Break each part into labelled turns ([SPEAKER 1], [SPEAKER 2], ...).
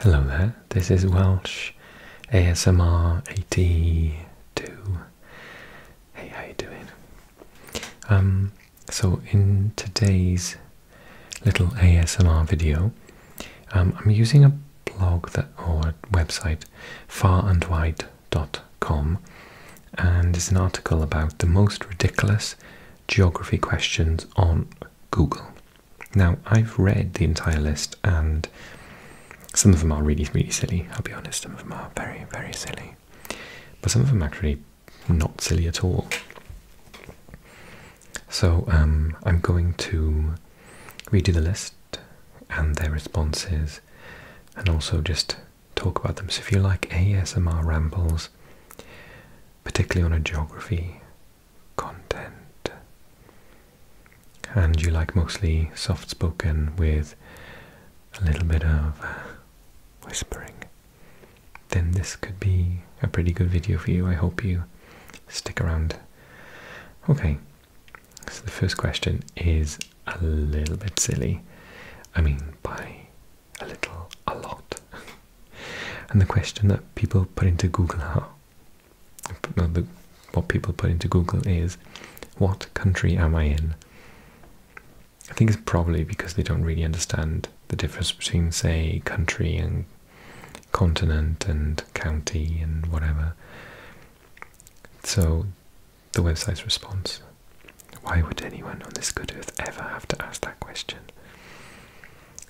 [SPEAKER 1] Hello there, this is Welsh ASMR 82. Hey, how you doing? Um, so in today's little ASMR video, um, I'm using a blog or website, farandwide.com, and it's an article about the most ridiculous geography questions on Google. Now, I've read the entire list, and some of them are really, really silly, I'll be honest. Some of them are very, very silly. But some of them are actually not silly at all. So, um, I'm going to redo the list and their responses and also just talk about them. So, if you like ASMR rambles, particularly on a geography content. And you like mostly soft spoken with a little bit of whispering, then this could be a pretty good video for you. I hope you stick around. Okay, so the first question is a little bit silly. I mean, by a little, a lot. And the question that people put into Google are, what people put into Google is, what country am I in? I think it's probably because they don't really understand the difference between, say, country and continent and county and whatever. So, the website's response why would anyone on this good earth ever have to ask that question?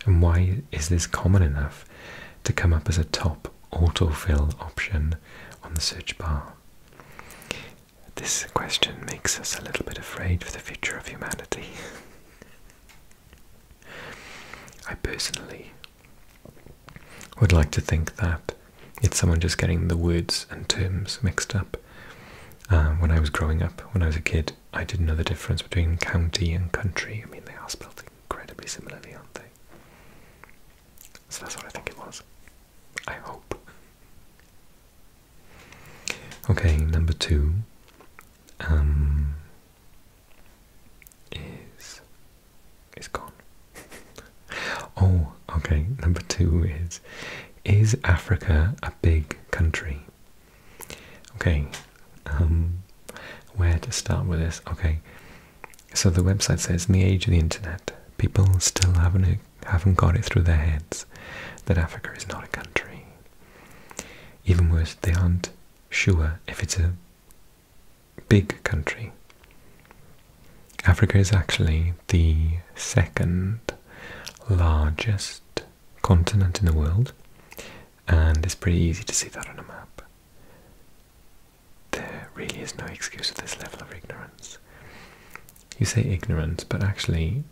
[SPEAKER 1] And why is this common enough to come up as a top autofill option on the search bar? This question makes us a little bit afraid for the future of humanity. I personally would like to think that it's someone just getting the words and terms mixed up. Uh, when I was growing up, when I was a kid, I didn't know the difference between county and country. I mean, they are spelled incredibly similarly, aren't they? So that's what I think it was. I hope. Okay, number two um, is is gone. oh, okay. Number two is is Africa a big country? Okay, um, where to start with this? Okay, so the website says in the age of the internet, people still haven't haven't got it through their heads that Africa is not a country. Even worse, they aren't sure if it's a big country. Africa is actually the second largest continent in the world and it's pretty easy to see that on a map. There really is no excuse for this level of ignorance. You say ignorance, but actually,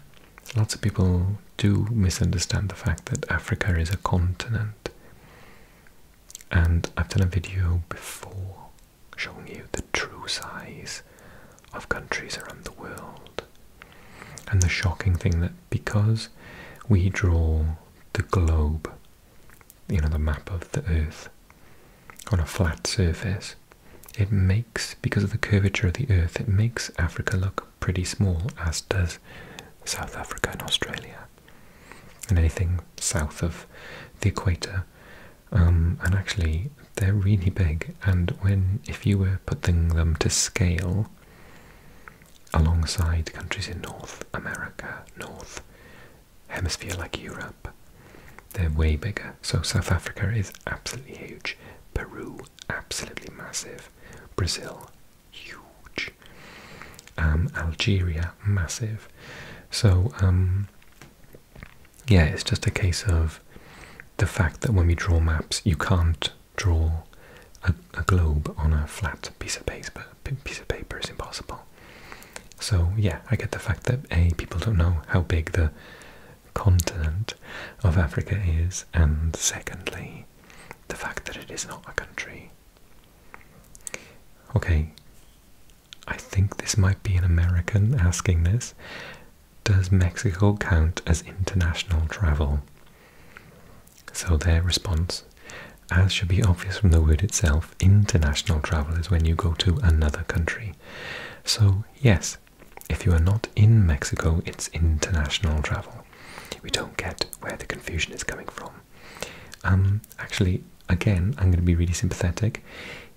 [SPEAKER 1] lots of people do misunderstand the fact that Africa is a continent. And I've done a video before showing you the true size of countries around the world. And the shocking thing that because we draw the globe, you know, the map of the Earth, on a flat surface, it makes, because of the curvature of the Earth, it makes Africa look pretty small, as does South Africa and Australia. And anything south of the equator, um, and actually they're really big. And when, if you were putting them to scale, alongside countries in North America, North Hemisphere like Europe. They're way bigger. So South Africa is absolutely huge. Peru, absolutely massive. Brazil, huge. Um, Algeria, massive. So, um, yeah, it's just a case of the fact that when we draw maps, you can't draw a, globe on a flat piece of paper. Piece of paper is impossible. So yeah, I get the fact that a people don't know how big the continent of Africa is, and secondly, the fact that it is not a country. Okay, I think this might be an American asking this. Does Mexico count as international travel? So their response, as should be obvious from the word itself, international travel is when you go to another country. So yes, if you are not in Mexico, it's international travel. We don't get where the confusion is coming from. Um, actually, again, I'm going to be really sympathetic.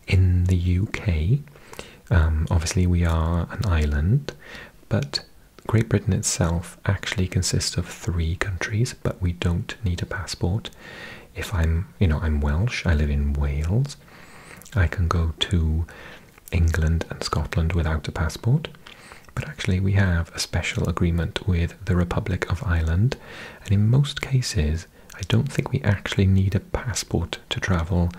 [SPEAKER 1] In the UK, um, obviously we are an island, but Great Britain itself actually consists of three countries, but we don't need a passport. If I'm, you know, I'm Welsh, I live in Wales, I can go to England and Scotland without a passport. But actually, we have a special agreement with the Republic of Ireland, and in most cases, I don't think we actually need a passport to travel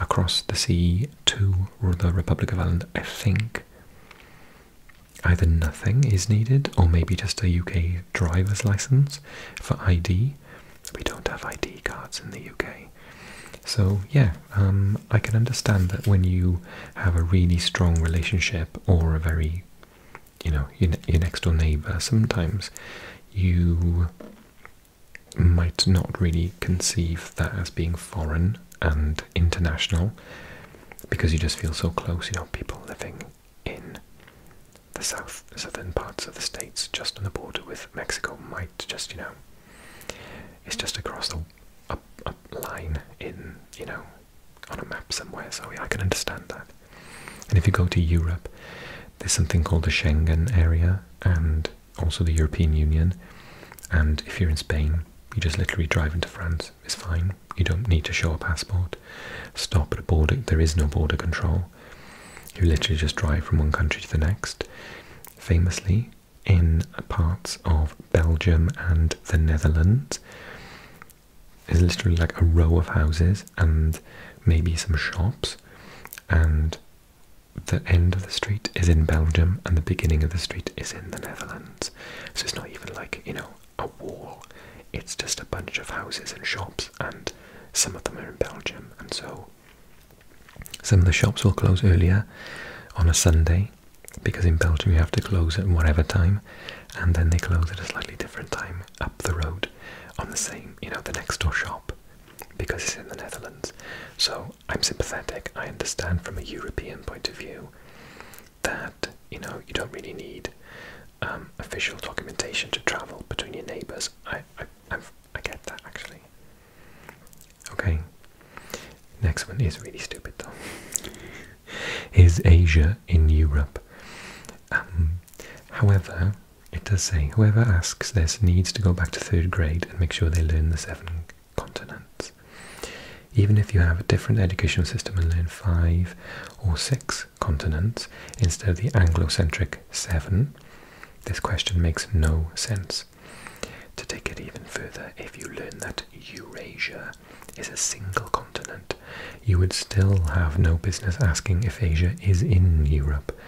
[SPEAKER 1] across the sea to the Republic of Ireland. I think Either nothing is needed, or maybe just a UK driver's license for ID. We don't have ID cards in the UK. So, yeah, um, I can understand that when you have a really strong relationship or a very, you know, your next door neighbour, sometimes you might not really conceive that as being foreign and international because you just feel so close. You know, people living in the south, southern parts of the states, just on the border with Mexico, might just, you know, it's just across the up, line in, you know, on a map somewhere. So yeah, I can understand that. And if you go to Europe, there's something called the Schengen area, and also the European Union. And if you're in Spain, you just literally drive into France. It's fine. You don't need to show a passport. Stop at a border. There is no border control. You literally just drive from one country to the next. Famously, in parts of Belgium and the Netherlands, there's literally like a row of houses and maybe some shops, and the end of the street is in Belgium and the beginning of the street is in the Netherlands. So it's not even like, you know, a wall. It's just a bunch of houses and shops, and some of them are in Belgium. And so some of the shops will close earlier on a Sunday because in Belgium you have to close at whatever time, and then they close at a slightly different time up the road on the same, you know, the next door shop because it's in the Netherlands. So I'm sympathetic. I understand from a European point of view that, you know, you don't really need um, official documentation to travel between your neighbours. I, I, get that actually. Okay. Next one is really stupid though. is Asia in Europe? Um, however, it does say whoever asks this needs to go back to third grade and make sure they learn the seven continents. Even if you have a different educational system and learn five or six continents instead of the Anglo-centric seven, this question makes no sense. To take it even further, if you learn that Eurasia is a single continent, you would still have no business asking if Asia is in Europe.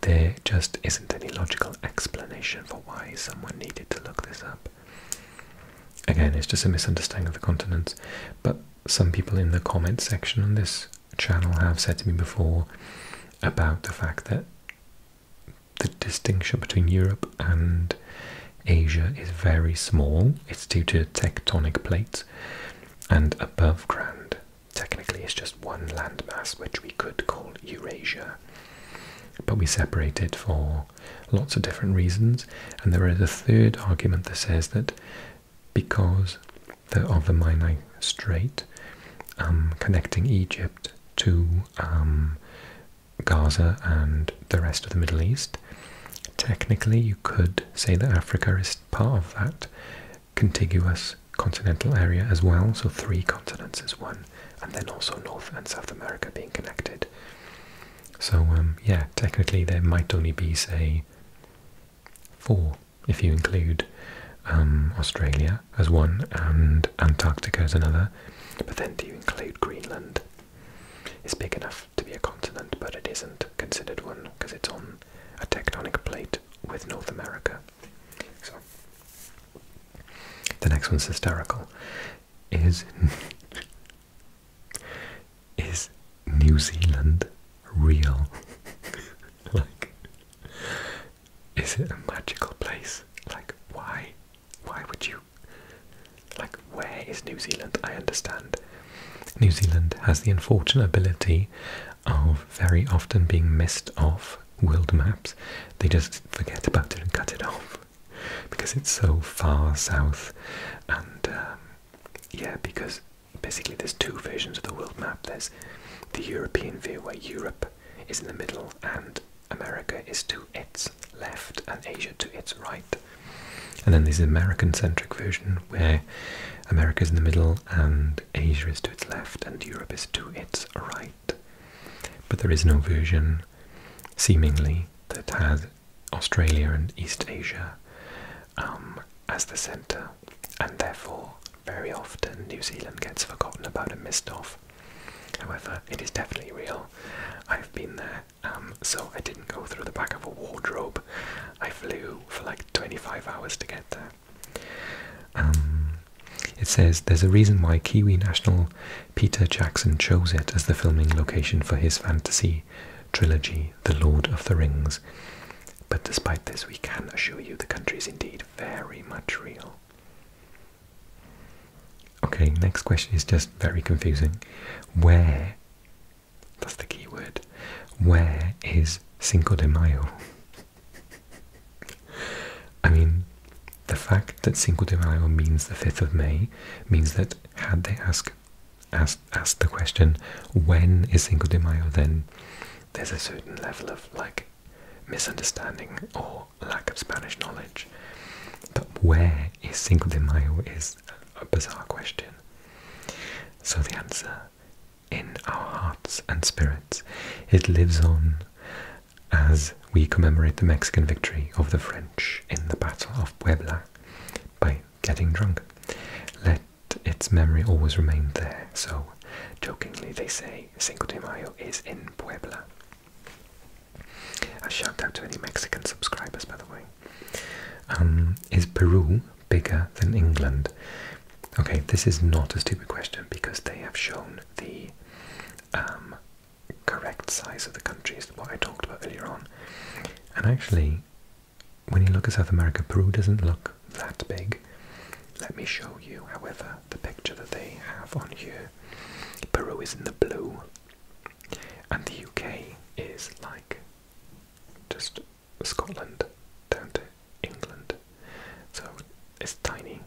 [SPEAKER 1] There just isn't any logical explanation for why someone needed to look this up. Again, it's just a misunderstanding of the continents, but some people in the comment section on this channel have said to me before about the fact that the distinction between Europe and Asia is very small. It's due to tectonic plates, and above ground, technically, it's just one landmass which we could call Eurasia. But we separate it for lots of different reasons. And there is a third argument that says that because of the Sinai Strait um, connecting Egypt to um, Gaza and the rest of the Middle East, technically you could say that Africa is part of that contiguous continental area as well, so three continents is one and then also North and South America being connected. So, um, yeah, technically there might only be, say, four if you include um, Australia as one and Antarctica as another. But then do you include Greenland? It's big enough to be a continent, but it isn't considered one because it's on a tectonic plate with North America. So the next one's hysterical. Is is New Zealand real? like, is it a magical place? Like, why? Why would you? Like, where is New Zealand? I understand. New Zealand has the unfortunate ability of very often being missed off world maps, they just forget about it and cut it off because it's so far south. And um, yeah, because basically there's two versions of the world map. There's the European view where Europe is in the middle and America is to its left and Asia to its right. And then there's the American centric version where America is in the middle and Asia is to its left and Europe is to its right but there is no version, seemingly, that has Australia and East Asia um, as the centre, and therefore, very often, New Zealand gets forgotten about and missed off. However, it is definitely real. I've been there, um, so I didn't go through the back of a wardrobe. I flew for like 25 hours to get there. Um, it says there's a reason why Kiwi national Peter Jackson chose it as the filming location for his fantasy trilogy, The Lord of the Rings. But despite this, we can assure you the country is indeed very much real. Okay, next question is just very confusing. Where, that's the key word, where is Cinco de Mayo? I mean, the fact that Cinco de Mayo means the 5th of May means that had they asked ask, ask the question, when is Cinco de Mayo, then there's a certain level of like misunderstanding or lack of Spanish knowledge. That where is Cinco de Mayo is a bizarre question. So the answer, in our hearts and spirits, it lives on as we commemorate the Mexican victory of the French in the Battle of Puebla by getting drunk. Let its memory always remain there, so jokingly they say Cinco de Mayo is in Puebla. A shout out to any Mexican subscribers, by the way. Um, is Peru bigger than England? Okay, this is not a stupid question because they have shown the um, correct size of the countries, what I talked about earlier on. And actually, when you look at South America, Peru doesn't look that big. Let me show you, however, the picture that they have on here. Peru is in the blue, and the UK is like just Scotland down to England. So it's tiny,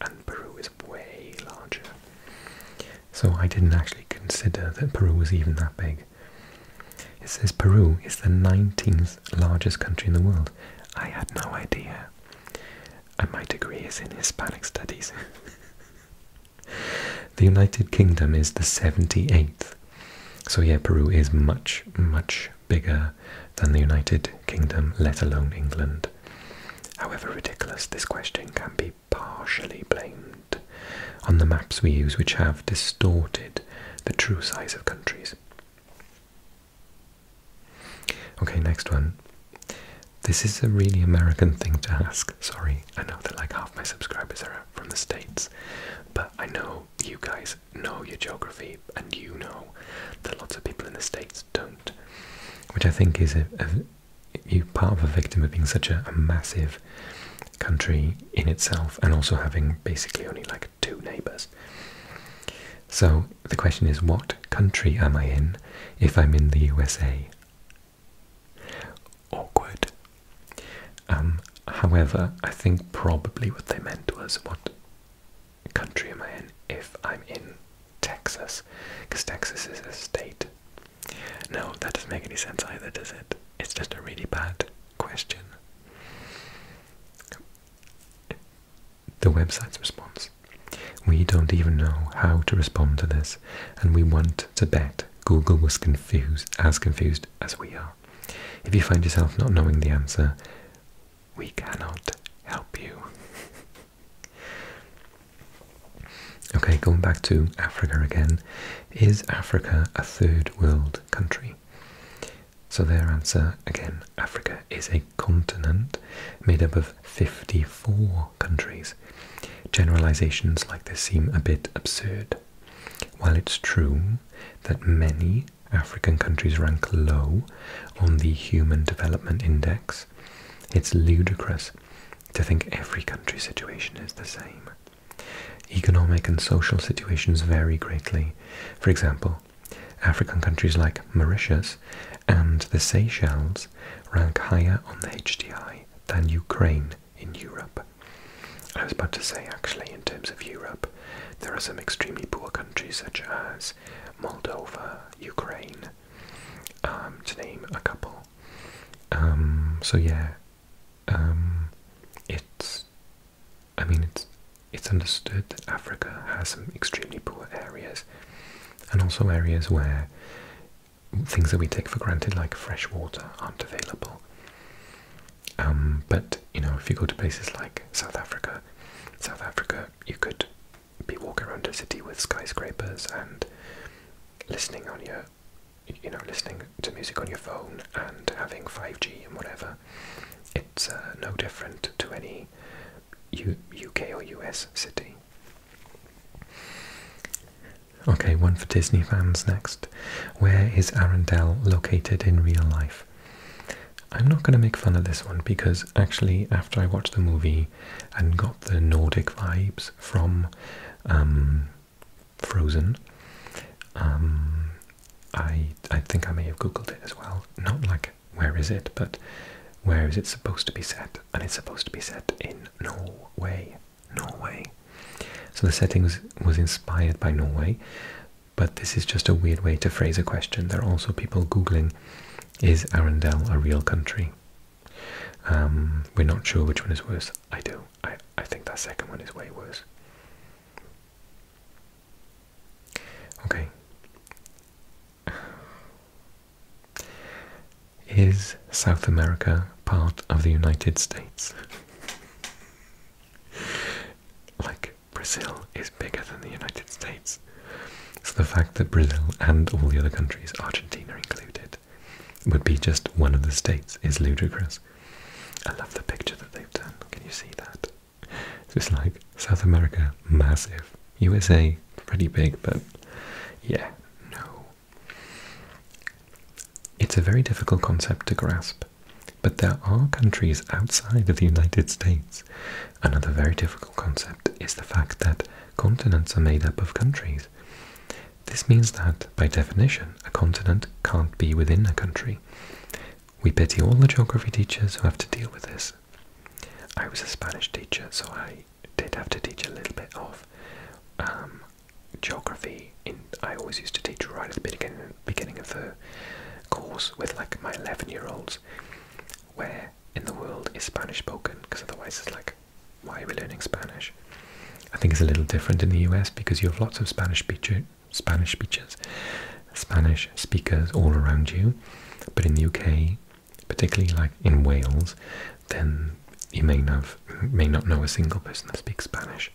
[SPEAKER 1] and Peru is way larger. So I didn't actually consider that Peru was even that big. It says Peru is the 19th largest country in the world. I had no idea. And my degree is in Hispanic studies. the United Kingdom is the 78th. So yeah, Peru is much, much bigger than the United Kingdom, let alone England. However ridiculous this question can be partially blamed on the maps we use, which have distorted the true size of countries. Okay, next one. This is a really American thing to ask. Sorry, I know that like half my subscribers are from the States, but I know you guys know your geography and you know that lots of people in the states don't, which I think is a, part of a victim of being such a, massive country in itself, and also having basically only like two neighbours. So the question is, what country am I in if I'm in the USA? Awkward. Um, however, I think probably what they meant was what country am I in if I'm in Texas? Because Texas is a state. No, that doesn't make any sense either, does it? It's just a really bad question. The website's response. We don't even know how to respond to this, and we want to bet Google was confused, as confused as we are. If you find yourself not knowing the answer, we cannot help you. okay, going back to Africa again. Is Africa a third world country? So their answer again, Africa is a continent made up of 54 countries. Generalizations like this seem a bit absurd. While it's true that many African countries rank low on the Human Development Index, it's ludicrous to think every country's situation is the same. Economic and social situations vary greatly. For example, African countries like Mauritius and the Seychelles rank higher on the HDI than Ukraine in Europe. I was about to say, actually, in terms of Europe, there are some extremely poor countries such as Moldova, Ukraine, um, to name a couple. Um, so yeah, um, it's. I mean, it's it's understood that Africa has some extremely poor areas, and also areas where things that we take for granted, like fresh water, aren't available. but you know, if you go to places like South Africa, South Africa, you could be walking around a city with skyscrapers and listening on your you know listening to music on your phone and having 5G and whatever it's uh, no different to any U UK or US city okay one for Disney fans next where is Arendelle located in real life I'm not going to make fun of this one because actually, after I watched the movie and got the Nordic vibes from um, Frozen, um, I I think I may have googled it as well. Not like where is it, but where is it supposed to be set? And it's supposed to be set in Norway, Norway. So the setting was, was inspired by Norway, but this is just a weird way to phrase a question. There are also people googling is Arendelle a real country? Um, we're not sure which one is worse. I do. I, I think that second one is way worse. Okay. Is South America part of the United States? like, Brazil is bigger than the United States. So the fact that Brazil and all the other countries, Argentina included, would be just one of the states is ludicrous. I love the picture that they've done. Can you see that? So it's like South America, massive. USA, pretty big, but yeah, no. It's a very difficult concept to grasp, but there are countries outside of the United States Another very difficult concept is the fact that continents are made up of countries. This means that, by definition, a continent can't be within a country. We pity all the geography teachers who have to deal with this. I was a Spanish teacher, so I did have to teach a little bit of um, geography. I always used to teach right at the beginning, beginning of the course with like my 11 year olds, where in the world is Spanish spoken? Because otherwise, it's like, why are we learning Spanish? I think it's a little different in the US because you have lots of Spanish speecher, Spanish speeches, Spanish speakers all around you. But in the UK, particularly like in Wales, then you may not may not know a single person that speaks Spanish.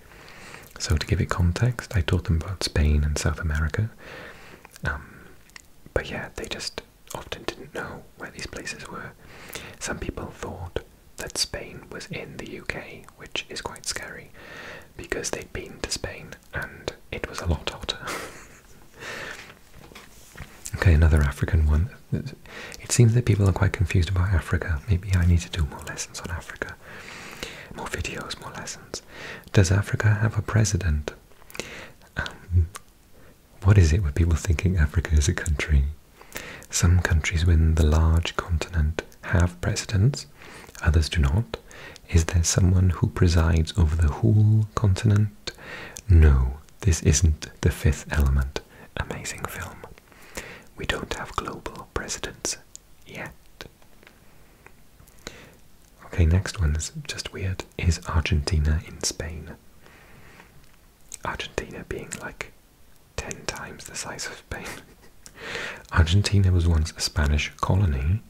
[SPEAKER 1] So to give it context, I taught them about Spain and South America. Um, but yeah, they just often didn't know where these places were. Some people thought that Spain was in the UK, which is quite scary because they'd been to Spain and it was a lot hotter. okay, another African one. It seems that people are quite confused about Africa. Maybe I need to do more lessons on Africa. More videos, more lessons. Does Africa have a president? Um, what is it with people thinking Africa is a country? Some countries within the large continent have presidents, others do not. Is there someone who presides over the whole continent? No, this isn't the fifth element. Amazing film. We don't have global presidents yet. Okay, next one is just weird. Is Argentina in Spain? Argentina being like 10 times the size of Spain. Argentina was once a Spanish colony,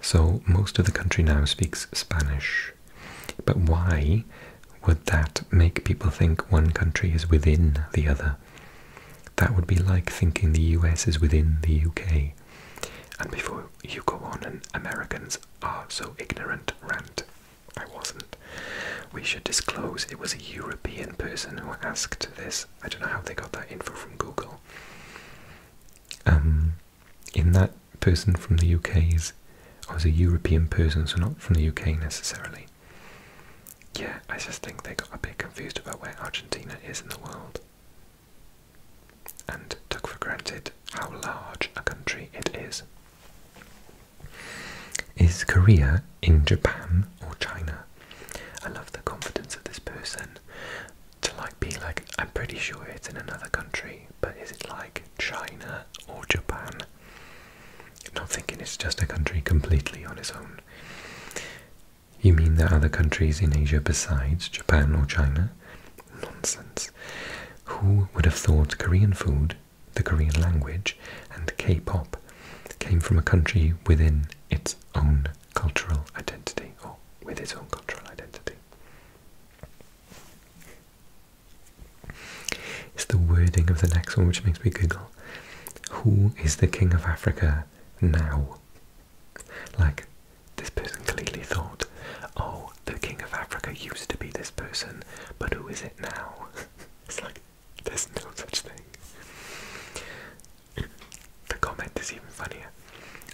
[SPEAKER 1] so most of the country now speaks Spanish. But why would that make people think one country is within the other? That would be like thinking the US is within the UK. And before you go on an Americans are so ignorant rant, I wasn't. We should disclose it was a European person who asked this. I don't know how they got that info from Google. Um, in that person from the UK is, oh, I was a European person, so not from the UK necessarily. Yeah, I just think they got a bit confused about where Argentina is in the world and took for granted how large a country it is. Is Korea in Japan or China? I love the confidence of this person to like be like, I'm pretty sure it's in another country, but is it like China or Japan? Not thinking it's just a country completely on its own. You mean there are other countries in Asia besides Japan or China? Nonsense. Who would have thought Korean food, the Korean language, and K pop came from a country within its own cultural identity, or with its own cultural identity? It's the wording of the next one which makes me giggle. Who is the king of Africa now? Like, this person clearly thought, oh, the king of Africa used to be this person, but who is it now? it's like, there's no such thing. the comment is even funnier.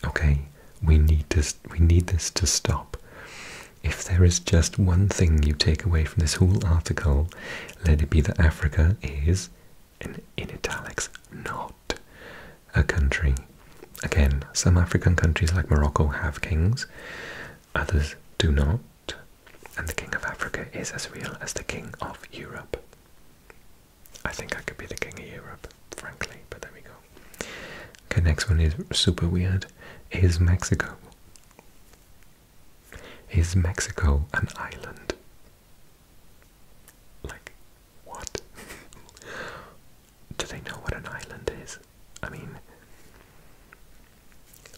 [SPEAKER 1] Okay, we need this, we need this to stop. If there is just one thing you take away from this whole article, let it be that Africa is, and in italics, not a country. Again, some African countries like Morocco have kings, others do not. And the king of Africa is as real as the king of Europe. I think I could be the king of Europe, frankly, but there we go. Okay, next one is super weird. Is Mexico? Is Mexico an island? Like, what? Do they know what an island is? I mean,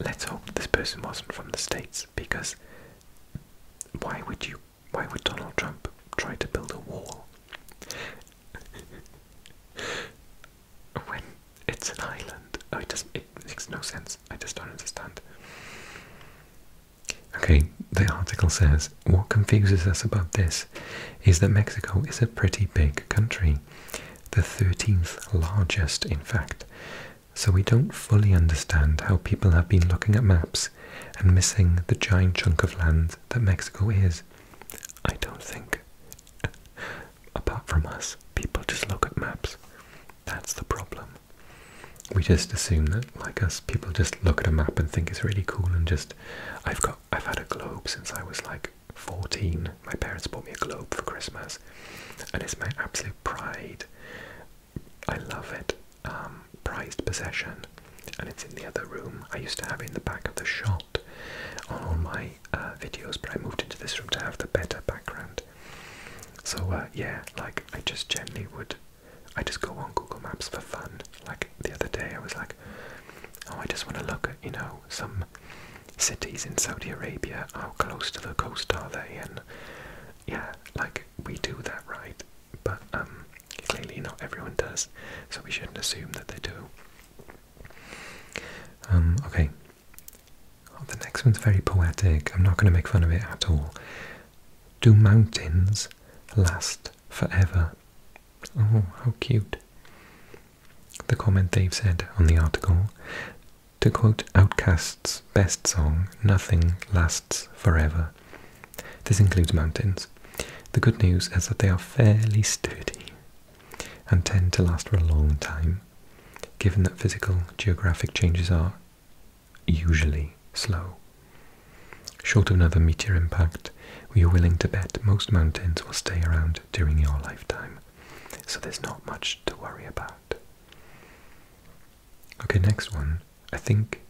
[SPEAKER 1] let's hope this person wasn't from the States because why would you, why would Donald Trump try to build a wall when it's an island? Oh, it, it makes no sense. I just don't understand. Okay, the article says what confuses us about this is that Mexico is a pretty big country, the 13th largest, in fact. So we don't fully understand how people have been looking at maps and missing the giant chunk of land that Mexico is. I don't think. Apart from us, people just look at maps. That's the problem. We just assume that, like us, people just look at a map and think it's really cool and just I've got I've had a globe since I was like 14. My parents bought me a globe for Christmas, and it's my absolute pride. I love it. Um, prized possession, and it's in the other room. I used to have it in the back of the shot on all my uh, videos, but I moved into this room to have the better background. So uh, yeah, like I just generally would I just go on Google Maps for fun. Like the other day, I was like, oh, I just want to look at, you know, some cities in Saudi Arabia. How close to the coast are they? And yeah, like we do that, right? But um, clearly not everyone does, so we shouldn't assume that they do. Um, okay. Oh, the next one's very poetic. I'm not going to make fun of it at all. Do mountains last forever? Oh, how cute. The comment they've said on the article to quote Outcast's best song, Nothing Lasts Forever. This includes mountains. The good news is that they are fairly sturdy and tend to last for a long time, given that physical geographic changes are usually slow. Short of another meteor impact, we are willing to bet most mountains will stay around during your lifetime, so there's not much to worry about. Okay, next one. I think,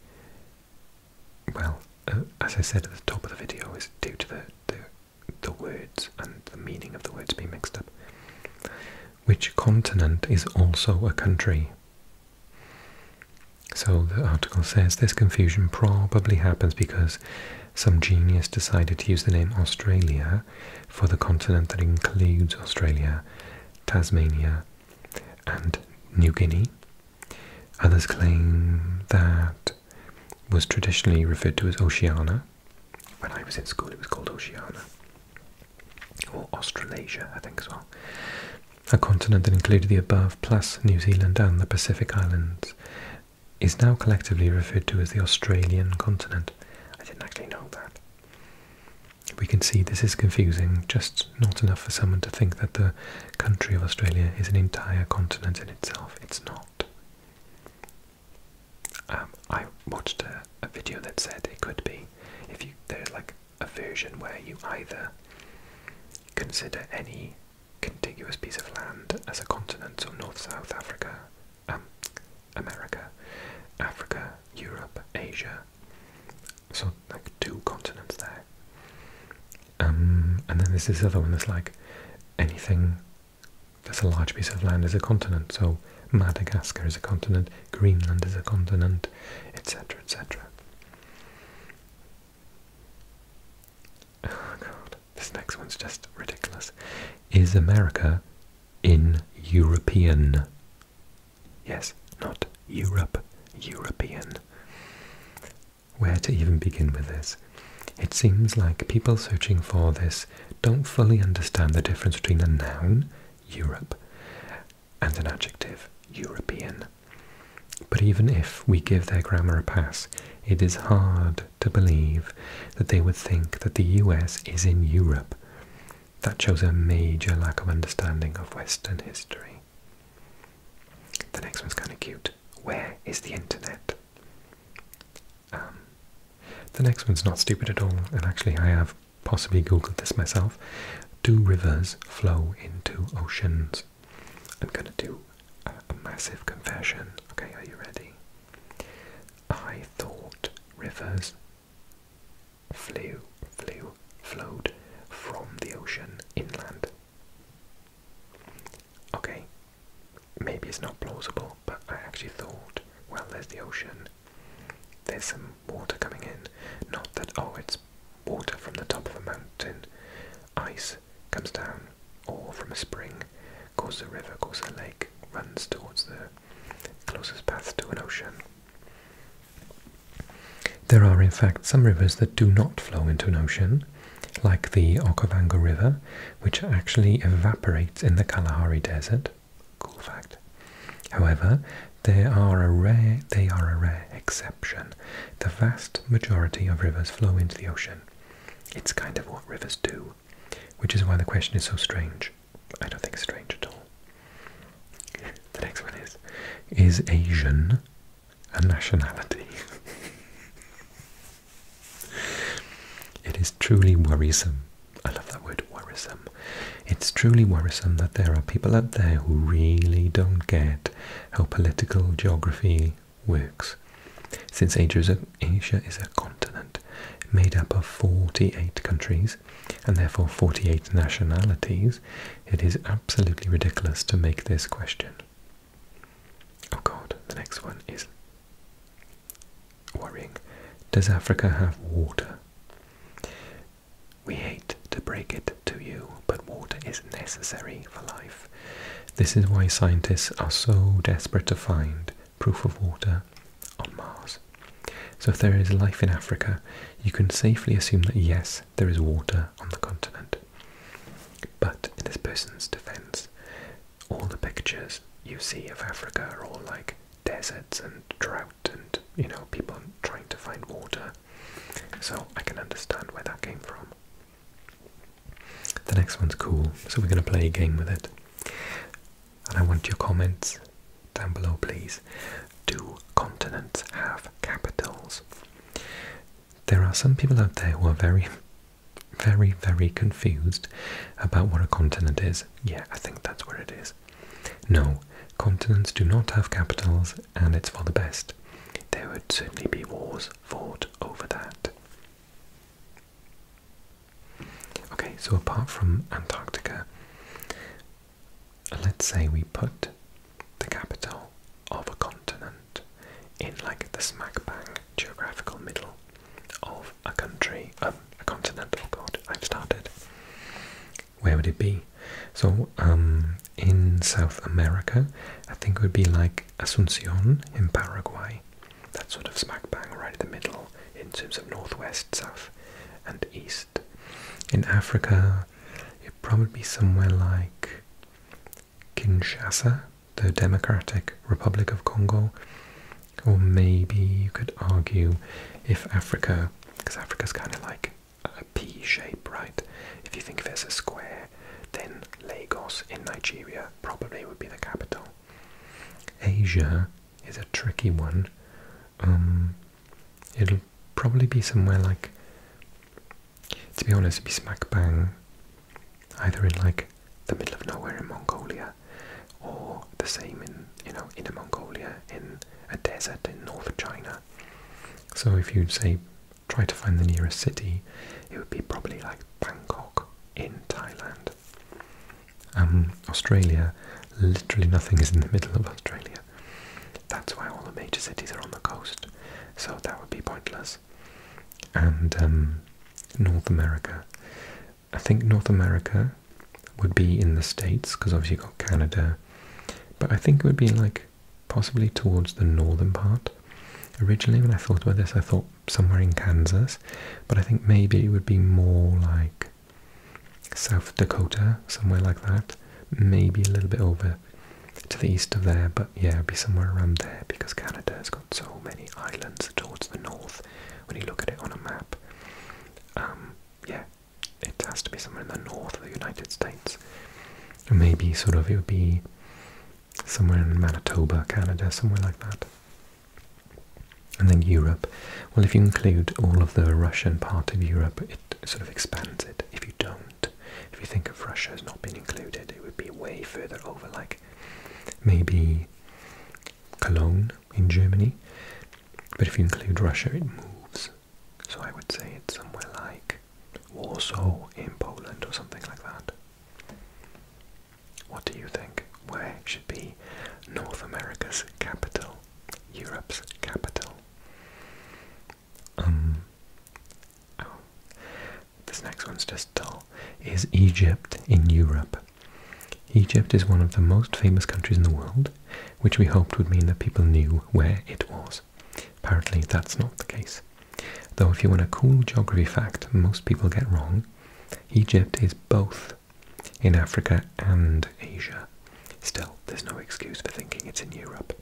[SPEAKER 1] well, uh, as I said at the top of the video, it's due to the, the words and the meaning of the words being mixed up. Which continent is also a country? So the article says this confusion probably happens because some genius decided to use the name Australia for the continent that includes Australia, Tasmania, and New Guinea. Others claim that was traditionally referred to as Oceania. When I was in school, it was called Oceania. Or Australasia, I think as well a continent that included the above, plus New Zealand and the Pacific Islands, is now collectively referred to as the Australian continent. I didn't actually know that. We can see this is confusing, just not enough for someone to think that the country of Australia is an entire continent in itself. It's not. Um, I watched a, video that said it could be. If you there's like a version where you either consider any contiguous piece of land as a continent, so North, South, Africa, um, America, Africa, Europe, Asia, so like two continents there. Um, and then there's this other one that's like anything that's a large piece of land is a continent, so Madagascar is a continent, Greenland is a continent, etc., etc. Oh god, this next one's just ridiculous. Is America in European? Yes, not Europe, European. Where to even begin with this? It seems like people searching for this don't fully understand the difference between a noun, Europe, and an adjective, European. But even if we give their grammar a pass, it is hard to believe that they would think that the US is in Europe. That shows a major lack of understanding of Western history. The next one's kind of cute. Where is the internet? Um, the next one's not stupid at all, and actually I have possibly googled this myself. Do rivers flow into oceans? I'm gonna do a, massive confession. Okay, are you ready? I thought rivers flew, flew, flowed from the ocean inland. Okay, maybe it's not plausible, but I actually thought, well, there's the ocean. There's some water coming in. Not that, oh, it's water from the top of a mountain, ice comes down, or from a spring, causes a river, causes a lake, runs towards the closest path to an ocean. There are in fact some rivers that do not flow into an ocean, like the Okavango River, which actually evaporates in the Kalahari Desert. Cool fact. However, they are a rare, they are a rare exception. The vast majority of rivers flow into the ocean. It's kind of what rivers do, which is why the question is so strange. I don't think it's strange at all. The next one is, is Asian a nationality? it is truly worrisome. I love that word, worrisome. It's truly worrisome that there are people out there who really don't get how political geography works. Since Asia is a, continent made up of 48 countries and therefore 48 nationalities, it is absolutely ridiculous to make this question. Oh god, the next one is worrying. Does Africa have water? We hate to break it to you, but water is necessary for life. This is why scientists are so desperate to find proof of water on Mars. So, if there is life in Africa, you can safely assume that yes, there is water on the continent. But in this person's defense, all the pictures you see of Africa are all like deserts and drought and, you know, people trying to find water. So I can understand where that came from. The next one's cool, so we're going to play a game with it. And I want your comments down below, please. Do continents have capitals? There are some people out there who are very, very, very confused about what a continent is. Yeah, I think that's where it is. No, continents do not have capitals, and it's for the best there would certainly be wars fought over that. Okay, so apart from Antarctica, let's say we put the capital of a continent in like the smack bang geographical middle of a country, um, a continent, oh god, I've started where would it be? So um, in South America, I think it would be like Asuncion in Paraguay. That sort of smack bang right in the middle in terms of northwest, south, and east. In Africa, it'd probably be somewhere like Kinshasa, the Democratic Republic of Congo. Or maybe you could argue if Africa, because Africa's kind of like a P shape, right? If you think of it as a square, then Lagos in Nigeria probably would be the capital. Asia is a tricky one. Um, it'll probably be somewhere like, to be honest, be smack bang, either in like the middle of nowhere in Mongolia, or the same in you know in Inner Mongolia in a desert in north China, so if you say try to find the nearest city, it would be probably like Bangkok in Thailand. Um, Australia, literally nothing is in the middle of Australia. That's why all the major cities are on the coast, so that would be pointless. And um, North America, I think North America would be in the States because obviously you've got Canada, but I think it would be like possibly towards the northern part. Originally, when I thought about this, I thought somewhere in Kansas, but I think maybe it would be more like South Dakota, somewhere like that. Maybe a little bit over to the east of there, but yeah, be somewhere around there because Canada has got so many islands towards the north when you look at it on a map. Um, yeah, it has to be somewhere in the north of the United States. Maybe sort of it would be somewhere in Manitoba, Canada, somewhere like that. And then Europe. Well, if you include all of the Russian part of Europe, it sort of expands it. If you don't, if you think of Russia as not being included, it would be way further over, like maybe Cologne in Germany. But if you include Russia, it moves so I would say it's somewhere like Warsaw in Poland or something like that. What do you think? Where should be North America's capital? Europe's capital? Um. Oh. This next one's just dull. Is Egypt in Europe? Egypt is one of the most famous countries in the world, which we hoped would mean that people knew where it was. Apparently that's not the case. Though if you want a cool geography fact most people get wrong, Egypt is both in Africa and Asia. Still, there's no excuse for thinking it's in Europe.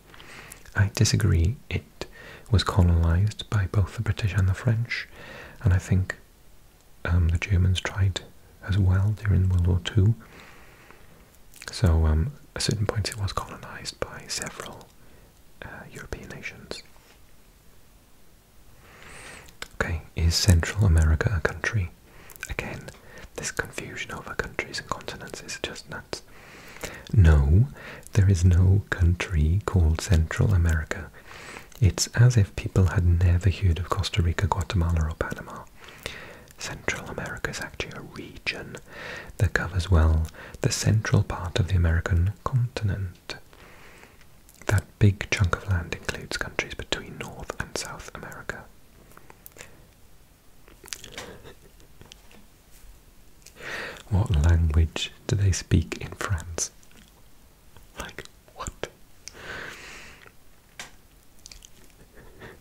[SPEAKER 1] I disagree. It was colonized by both the British and the French, and I think um, the Germans tried as well during World War II. So um, at certain points it was colonized by several uh, European nations. Okay, is Central America a country? Again, this confusion over countries and continents is just nuts. No, there is no country called Central America. It's as if people had never heard of Costa Rica, Guatemala, or Panama. Central America is actually a region that covers well the central part of the American continent. That big chunk of land includes countries between North and South America. What language do they speak in France? Like, what?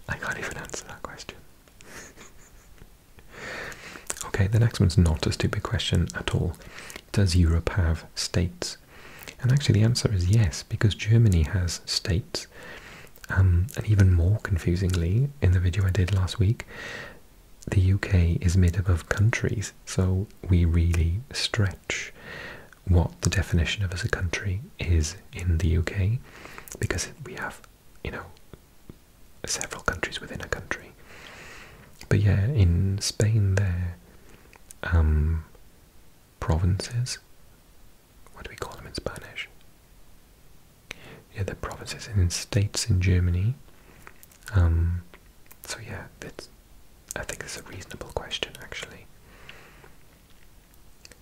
[SPEAKER 1] I can't even answer that question. okay, the next one's not a stupid question at all. Does Europe have states? And actually, the answer is yes, because Germany has states. Um, and even more confusingly, in the video I did last week, the UK is made up of countries, so we really stretch what the definition of as a country is in the UK because we have you know, several countries within a country. But yeah, in Spain, there um, provinces. What do we call them in Spanish? Yeah, the provinces and in states in Germany. Um, so yeah, that's. I think it's a reasonable question, actually.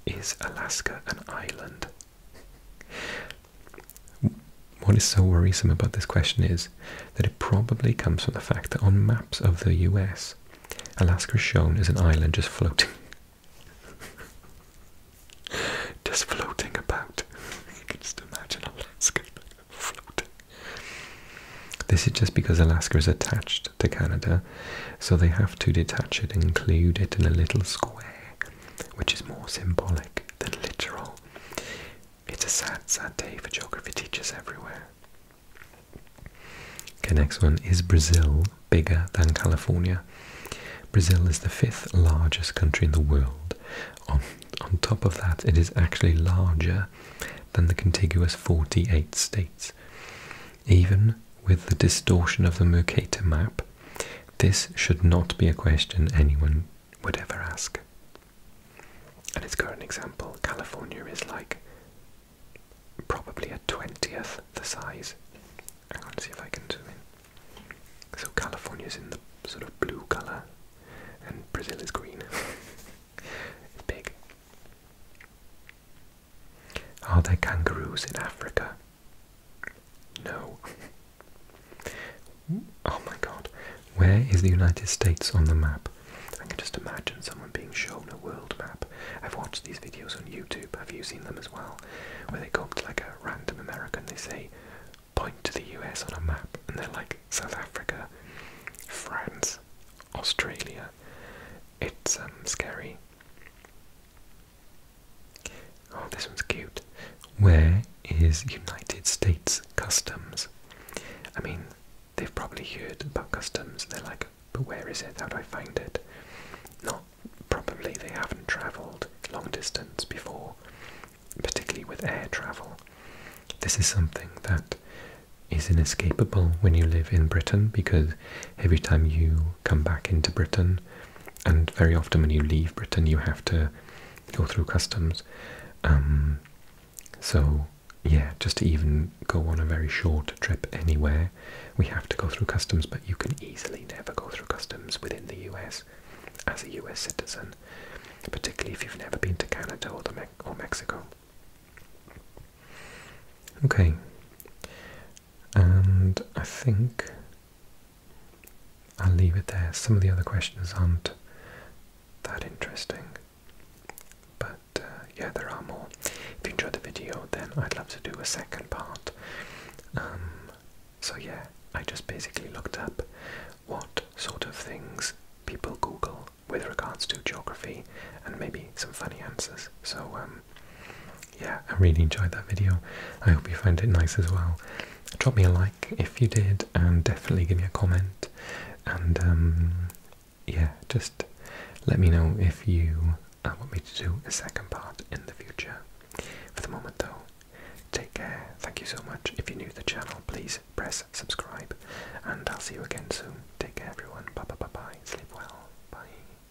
[SPEAKER 1] Is Alaska an island? What is so worrisome about this question is that it probably comes from the fact that on maps of the US, Alaska is shown as an island just floating. just floating about. you can just imagine Alaska floating. This is just because Alaska is attached to Canada, so they have to detach it and include it in a little square which is more symbolic than literal. It's a sad, sad day for geography teachers everywhere. Okay, next one. Is Brazil bigger than California? Brazil is the fifth largest country in the world. On, on top of that, it is actually larger than the contiguous 48 states. Even with the distortion of the Mercator map, this should not be a question anyone would ever ask. And its current example, California is like probably a twentieth the size. I'm going see if I can zoom in. So California's in the sort of blue colour and Brazil is green. it's big. Are there kangaroos in Africa? No. oh my god. Where is the United States on the map? I can just imagine someone being shown a world map. I've watched these videos on YouTube, have you seen them as well? Where they go up to like a random American, they say, point to the US on a map, and they're like South Africa, France, Australia. It's um, scary. Oh, this one's cute. Where is United States Customs? I mean, they've probably heard about customs. They're like, but where is it? How do I find it? Not probably they haven't travelled long distance before, particularly with air travel. This is something that is inescapable when you live in Britain because every time you come back into Britain, and very often when you leave Britain, you have to go through customs. Um, so, yeah, just to even go on a very short trip anywhere, we have to go through customs, but you can easily never go through customs within the US as a US citizen, particularly if you've never been to Canada or, or Mexico. Okay, and I think I'll leave it there. Some of the other questions aren't that interesting. But uh, yeah, there are more. If you enjoyed the video, then I'd love to do a second part. Um, so yeah, I just basically looked up what sort of things people Google with regards to geography and maybe some funny answers. So um, yeah, I really enjoyed that video. I hope you found it nice as well. Drop me a like if you did, and definitely give me a comment. And um, yeah, just let me know if you uh, want me to do a second part in the future. For the moment, though, take care. Thank you so much. If you're new to the channel, please press subscribe, and I'll see you again soon. Take care, everyone. Bye bye bye bye. Sleep well. Bye.